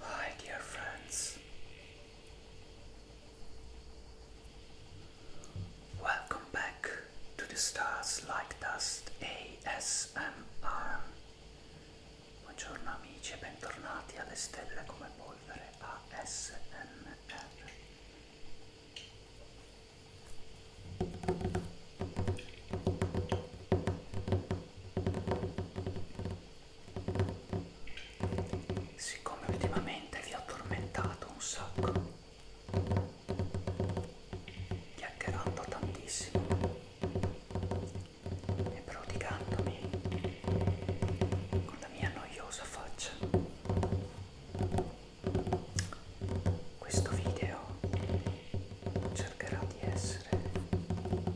Hi, dear friends. Welcome back to the Stars Like Dust ASMR. Buongiorno amici bentornati alle stelle come polvere ASMR. Siccome ultimamente vi ho tormentato un sacco, chiacchierando tantissimo e prodigandomi con la mia noiosa faccia, questo video cercherà di essere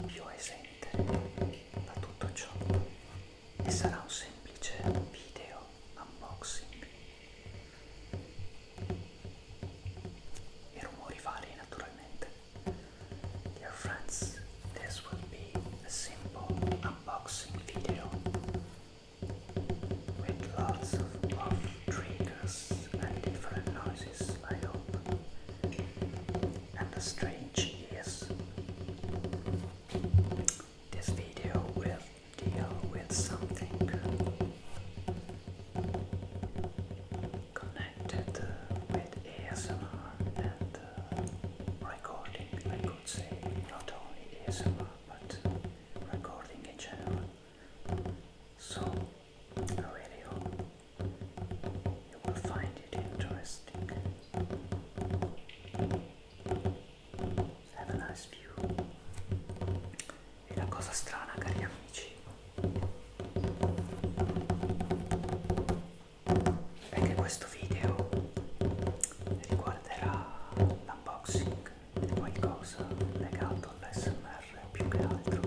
più esente da tutto ciò e sarà un semplice video unboxing. I rumori vari naturalmente. Dear friends, this will be a simple unboxing video with lots of, of triggers and different noises, I hope, and the strange is this video will deal with something connected with ASMR and uh, recording, I could say, not only ASMR but recording in general. So a video you will find it interesting. Have a nice view. E la cosa strana, cari amici, è che questo video riguarderà l'unboxing qualcosa legato all'SMR più che altro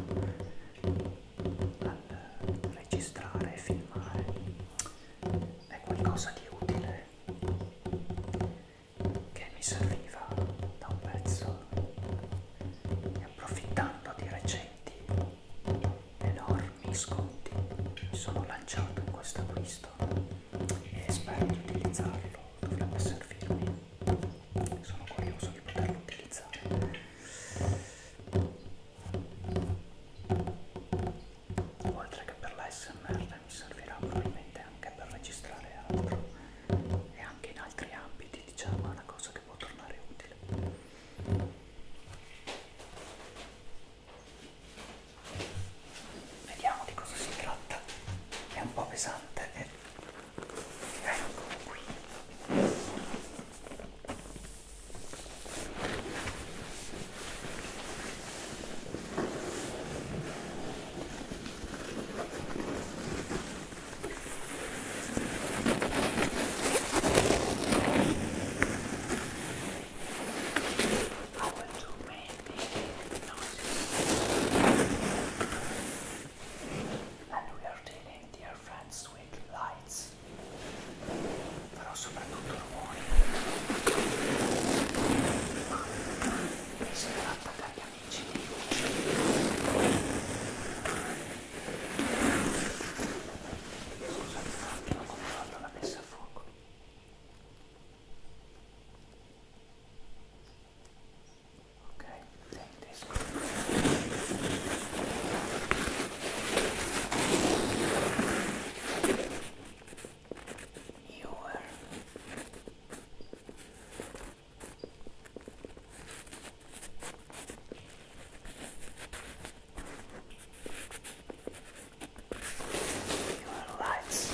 al registrare e filmare è qualcosa di utile che mi serviva da un pezzo e approfittando di recenti enormi sconti mi sono lanciato in questo acquisto e spero di utilizzarlo dovrebbe servirmi sono curioso di poterlo utilizzare oltre che per la smr mi servirà probabilmente anche per registrare altro e anche in altri ambiti diciamo è una cosa che può tornare utile Vediamo di cosa si tratta, è un po' pesante e eh. Very quick. I will do many noises and we are dealing dear friends with lights però soprattutto rumori si tratta cari amici di scusate un attimo controllo la messa a fuoco Okay, take this. You were. Your lights.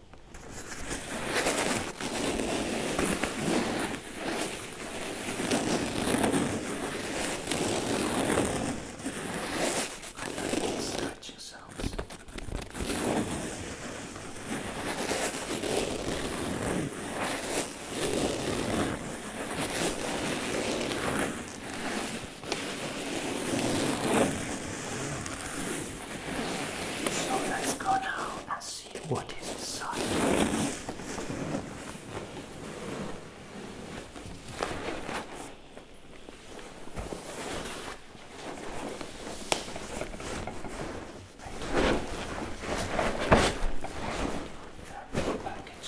I love you to stretch yourselves. So let's go now and see what is inside. Package.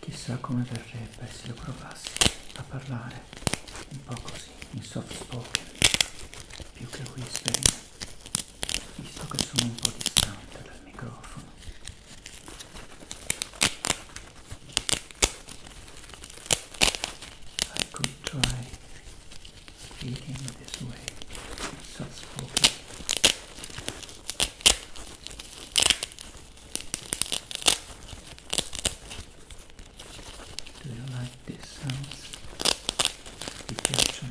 Chissà come verrebbe se io provassi a parlare un po' così, in soft spoken, più che whispering, visto che sono un po' distante dal microfono. I could try speaking this way, soft spoken, Do you like these sounds? You can this one.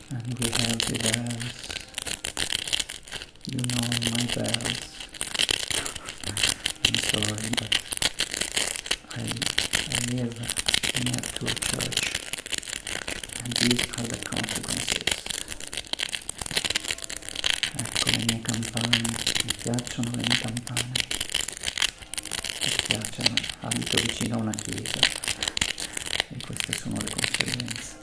and we have the bells you know my bells I'm sorry I, I live near to a church and these are the consequences ecco mie campane mi piacciono le mie campane mi piacciono abito vicino a una chiesa e queste sono le conseguenze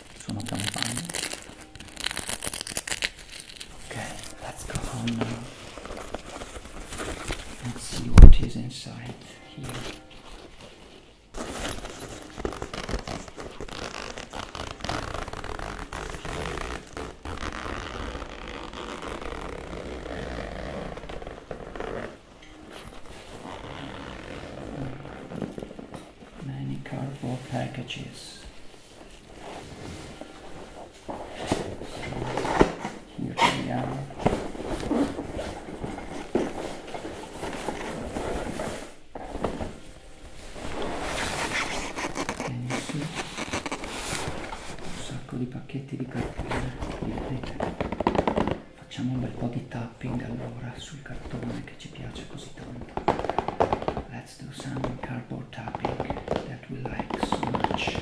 sono campagna okay let's go home now let's see what is inside here many cardboard packages here they are can you see? un sacco di pacchetti di cartone vedete Facciamo un bel po' di tapping allora sul cartone che ci piace così tanto. Let's do some cardboard tapping that we like so much.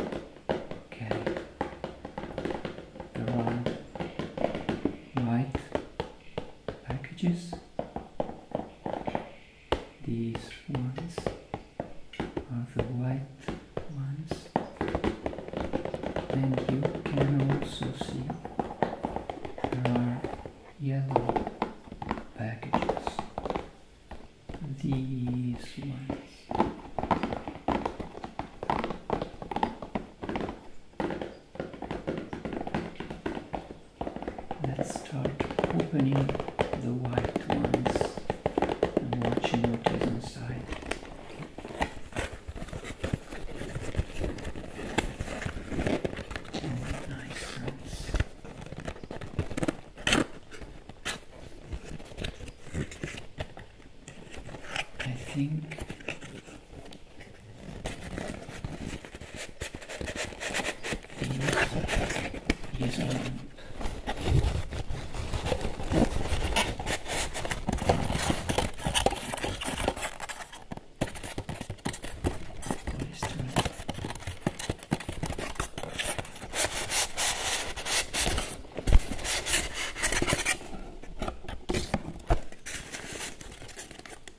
Okay. There are white packages. These ones are the white ones. And you can also see there are yellow packages these ones. Let's start opening the white ones and watching what is inside. nice ones. I think these, these are what is doing?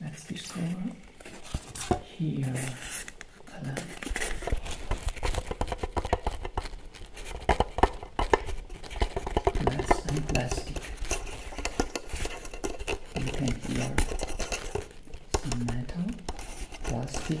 That's this color. Here, color. Glass and plastic. You can hear some metal, plastic,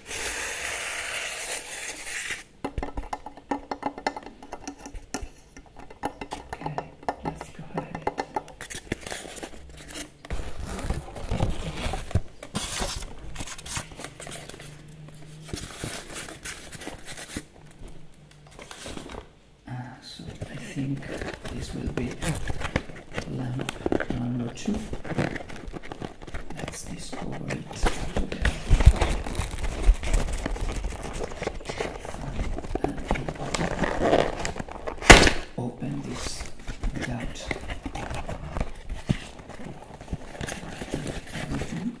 Okay, let's go ahead. Uh, so I think this will be lamp number two. Let's discover it together. Open this without everything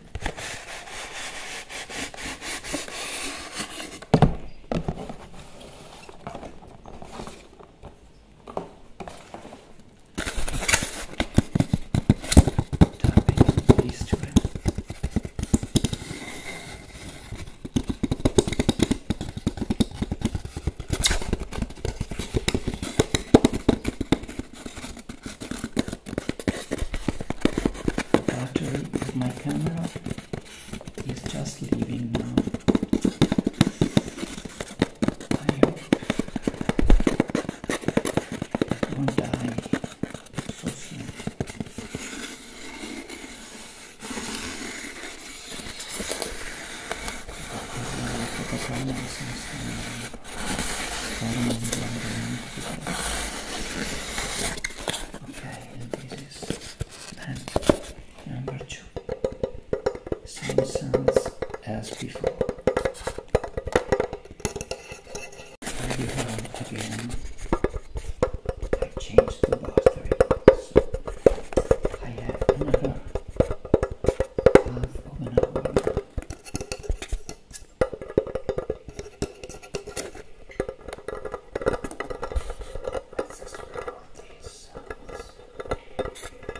tapping these two in. Battery of my camera is just leaving now. Okay, this is pen number two. same sounds as before. I do have again. I changed the box three times. I have another half of an hour. Let's just these sounds.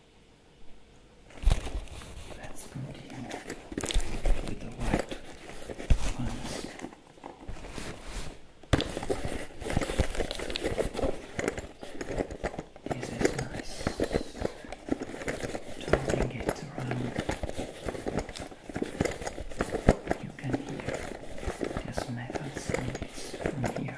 Let's continue with the white ones. This is nice. Turning it around, you can hear this metal sounds from here.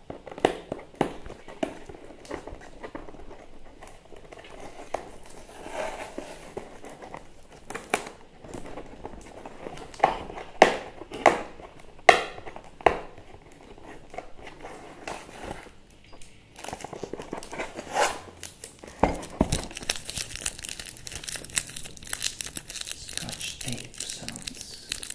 Scotch tape sounds.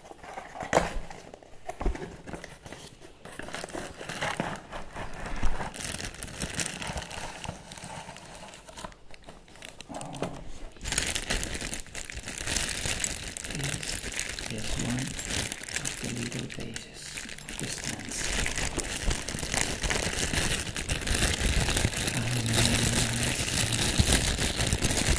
This is one of the little pages of the stands. I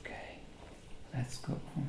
Okay, let's go home.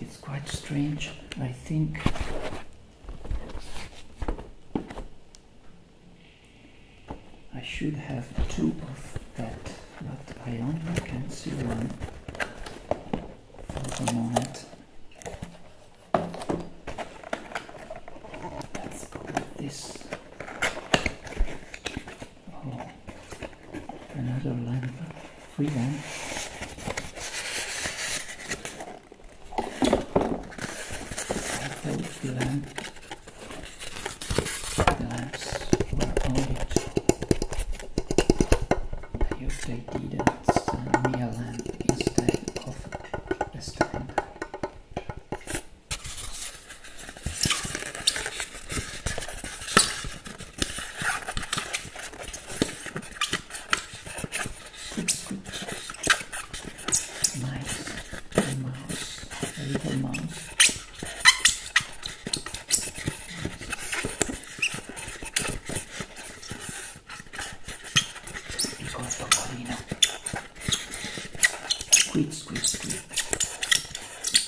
It's quite strange, I think. I should have two of that, but I only can see one for the moment. Let's go with this another lamp, free one. The lamp, the lamps were I hope they didn't send me a lamp instead of a stand. Nice mouse, a little mouse. Ricordo un pochino. Squid, squid, squid.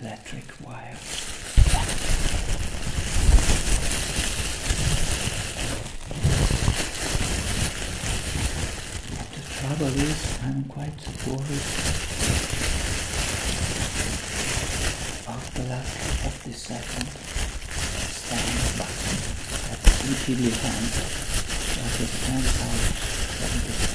electric wire. the trouble is, I'm quite worried about the luck of the second stand button at easily hand, but turns out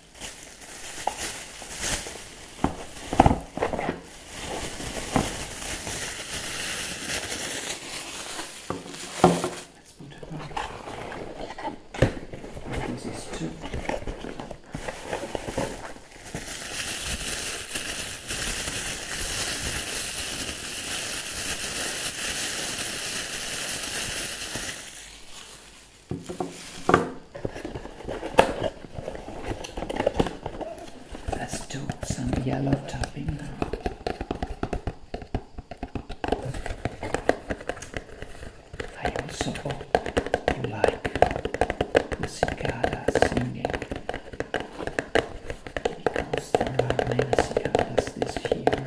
Let's put it on. This is two. Let's do some yellow topping now. I also like the singing because there are many this here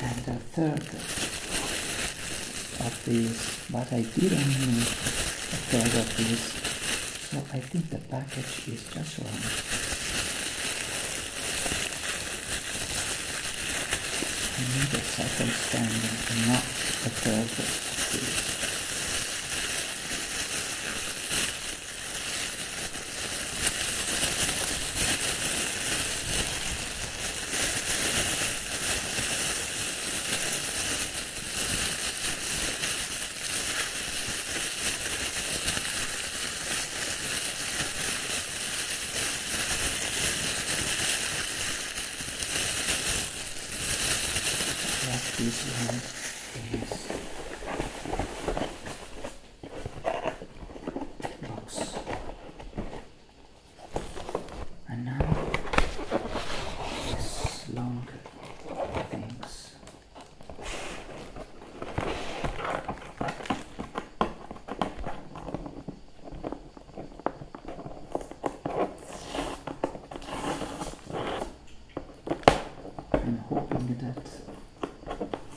And the third of these, but I didn't need a third of these so I think the package is just wrong. I need a second standing not a third last piece we have is box. And now this long things. I'm hoping that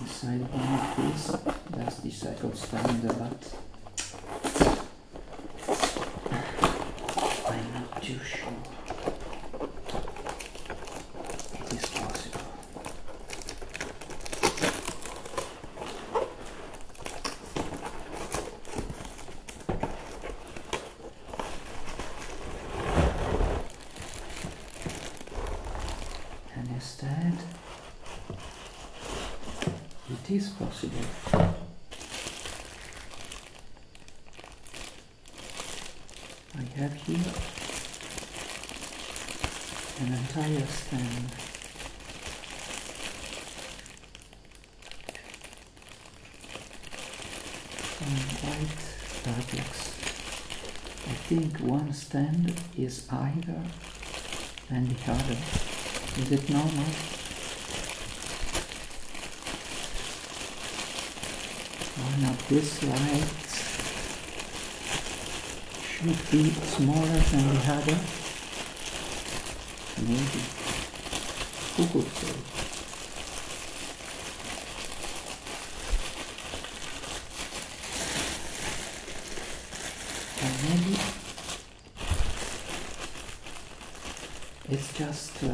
the side one of this, that's the cycle stand, but I'm not too sure it is possible. And instead, it is possible. I have here an entire stand and white fabrics. I think one stand is either and the other. Is it normal? One of this lights should be smaller than the other. Maybe. Who could maybe it's just uh,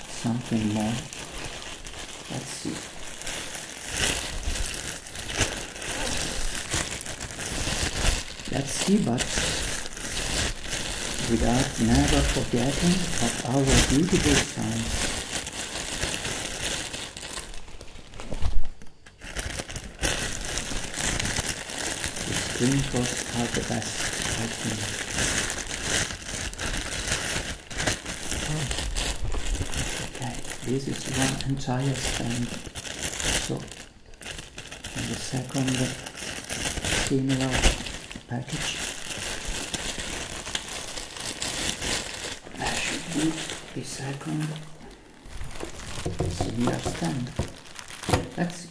something more. Let's see. Let's see, but without never forgetting of our beautiful time The screen posts are best, I think okay this is one entire stand so and the second uh, similar package that should be the second similar stand let's see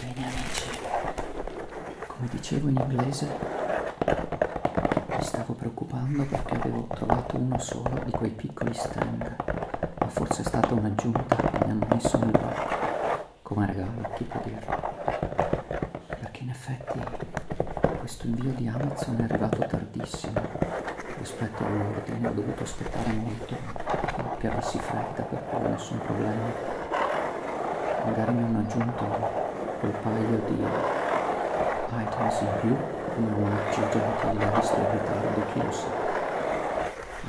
Bene amici, come dicevo in inglese mi stavo preoccupando perché avevo trovato uno solo di quei piccoli stand, ma forse è stata un'aggiunta che mi hanno messo nel blocco come regalo tipo di perché in effetti questo invio di Amazon è arrivato tardissimo rispetto all'ordine ho dovuto aspettare molto che avessi fretta per cui nessun problema magari mi hanno aggiunto quel paio di items in più come omaggio gentile visto il ritardo chi lo sa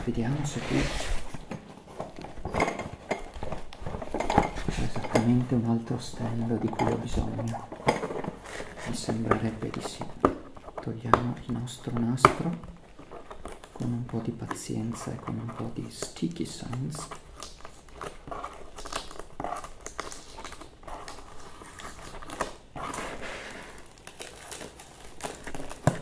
vediamo se qui esattamente un altro ostello di cui ho bisogno mi sembrerebbe di sì togliamo il nostro nastro con un po' di pazienza e con un po' di sticky signs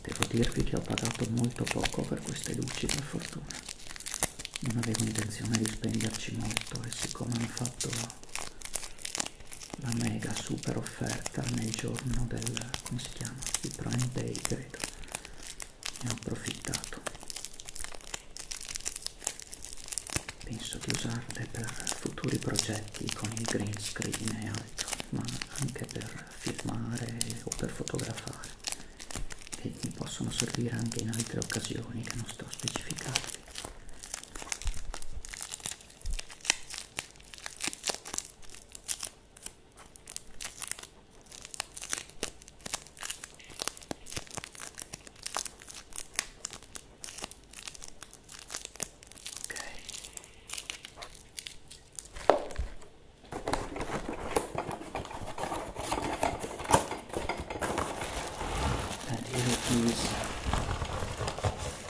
Devo dirvi che ho pagato molto poco per queste luci per fortuna. Non avevo intenzione di spenderci molto e siccome hanno fatto la mega super offerta nel giorno del come si chiama di Prime Day credo ne ho approfittato penso di usarle per futuri progetti con il green screen e altro ma anche per filmare o per fotografare e mi possono servire anche in altre occasioni che non sto specificando That little piece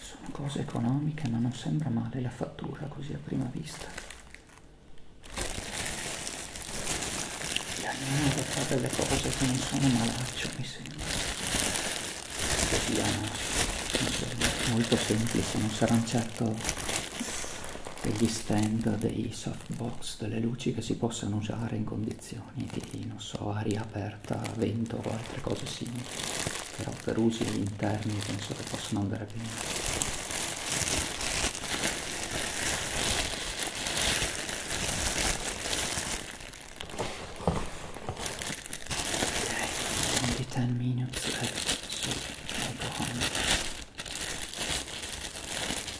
Sono cose economiche ma non sembra male la fattura così a prima vista. La nave fa delle cose che non sono malaccio mi sembra. Che sia molto semplice, non saranno certo degli stand, dei softbox, delle luci che si possano usare in condizioni di, non so, aria aperta, vento o altre cose simili, però per usi interni penso che possano andare bene. Ok, 10 minutes left, so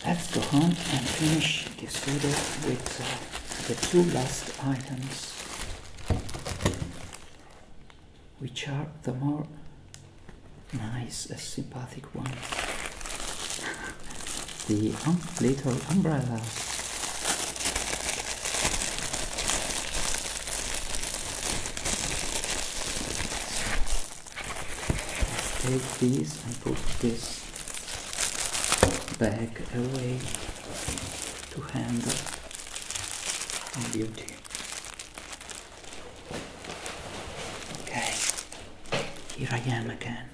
Let's go home and finish this video with uh, the two last items, which are the more nice, uh, sympathetic ones. the um, little umbrellas. take these and put this back away to handle on duty. Okay, here I am again.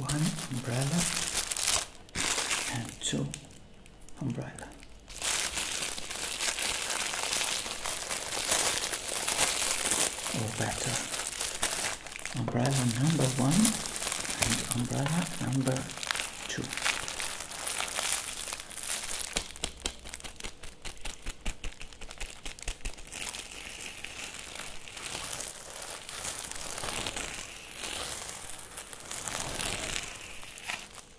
One umbrella and two umbrellas or better umbrella number one and umbrella number two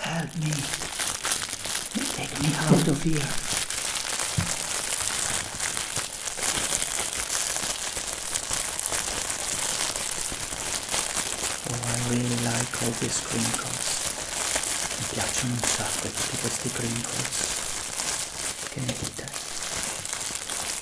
Help me. Take me out of here. Oh, I really like all these crinkles. Mi piacciono un sacco tutti questi crinkles. Che ne dite?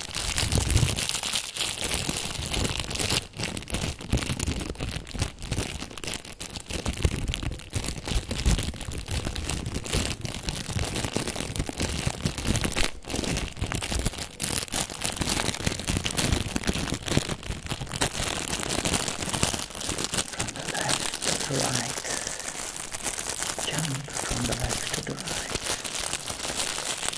From the left to the right. Jump from the left to the right.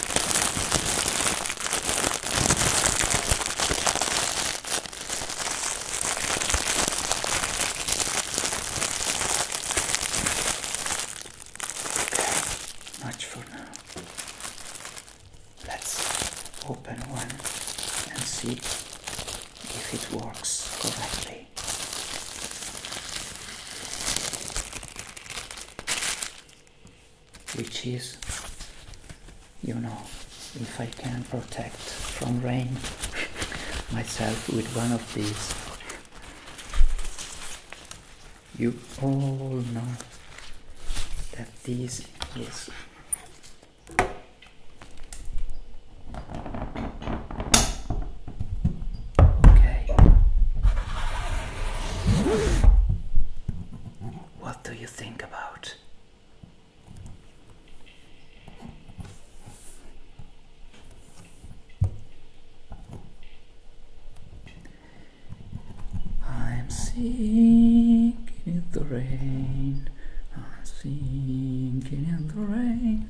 Okay, much for now. Let's open one and see if it works correctly which is you know if I can protect from rain myself with one of these you all know that this is Okay. What do you think about? I'm sinking in the rain. I'm sinking in the rain.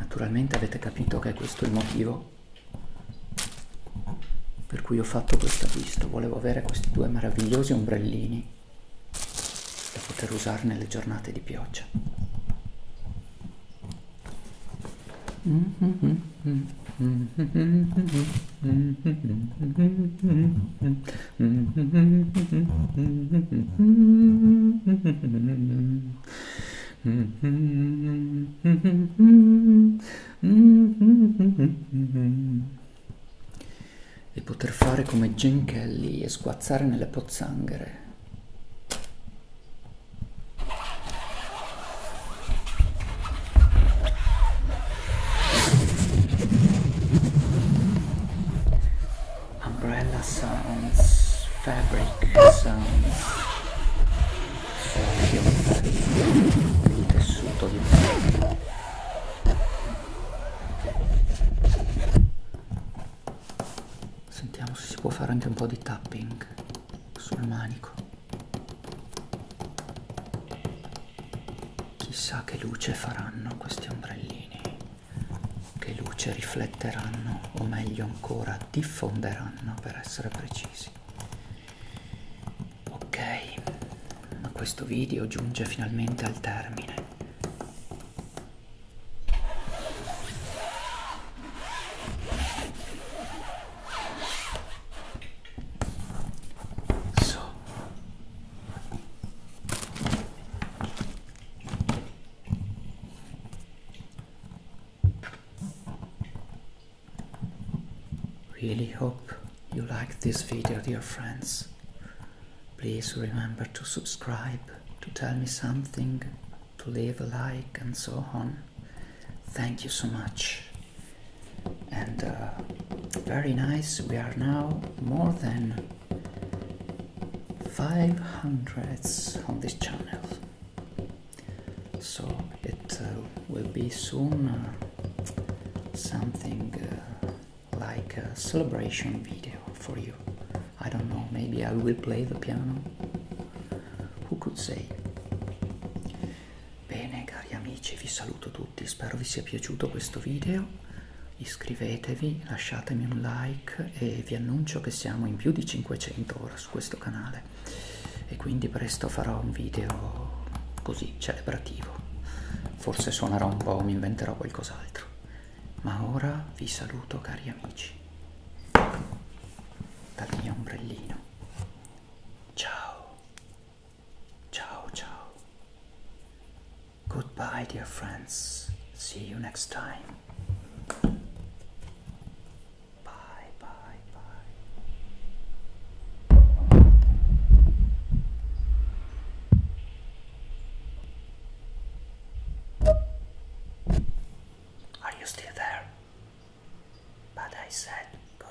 Naturalmente avete capito che questo è il motivo per cui ho fatto questo acquisto. Volevo avere questi due meravigliosi ombrellini da poter usare nelle giornate di pioggia. E poter fare come Jane Kelly e sguazzare nelle pozzanghere umbrella sounds, fabric sounds, il tessuto di pelle. Sentiamo se si può fare anche un po' di tapping sul manico. Chissà che luce faranno questi ombrellini che luce rifletteranno o meglio ancora diffonderanno per essere precisi ok ma questo video giunge finalmente al termine So Really hope you like this video dear friends. Please remember to subscribe, to tell me something, to leave a like and so on. Thank you so much. And uh, very nice, we are now more than 500 on this channel so it uh, will be soon uh, something uh, like a celebration video for you I don't know maybe I will play the piano who could say bene cari amici vi saluto tutti spero vi sia piaciuto questo video iscrivetevi, lasciatemi un like e vi annuncio che siamo in più di 500 ora su questo canale e quindi presto farò un video così celebrativo. Forse suonerò un po', mi inventerò qualcos'altro. Ma ora vi saluto cari amici dal mio ombrellino. Ciao, ciao, ciao. Goodbye, dear friends. See you next time. Bye, bye, bye. Are you still there? But I said goodbye.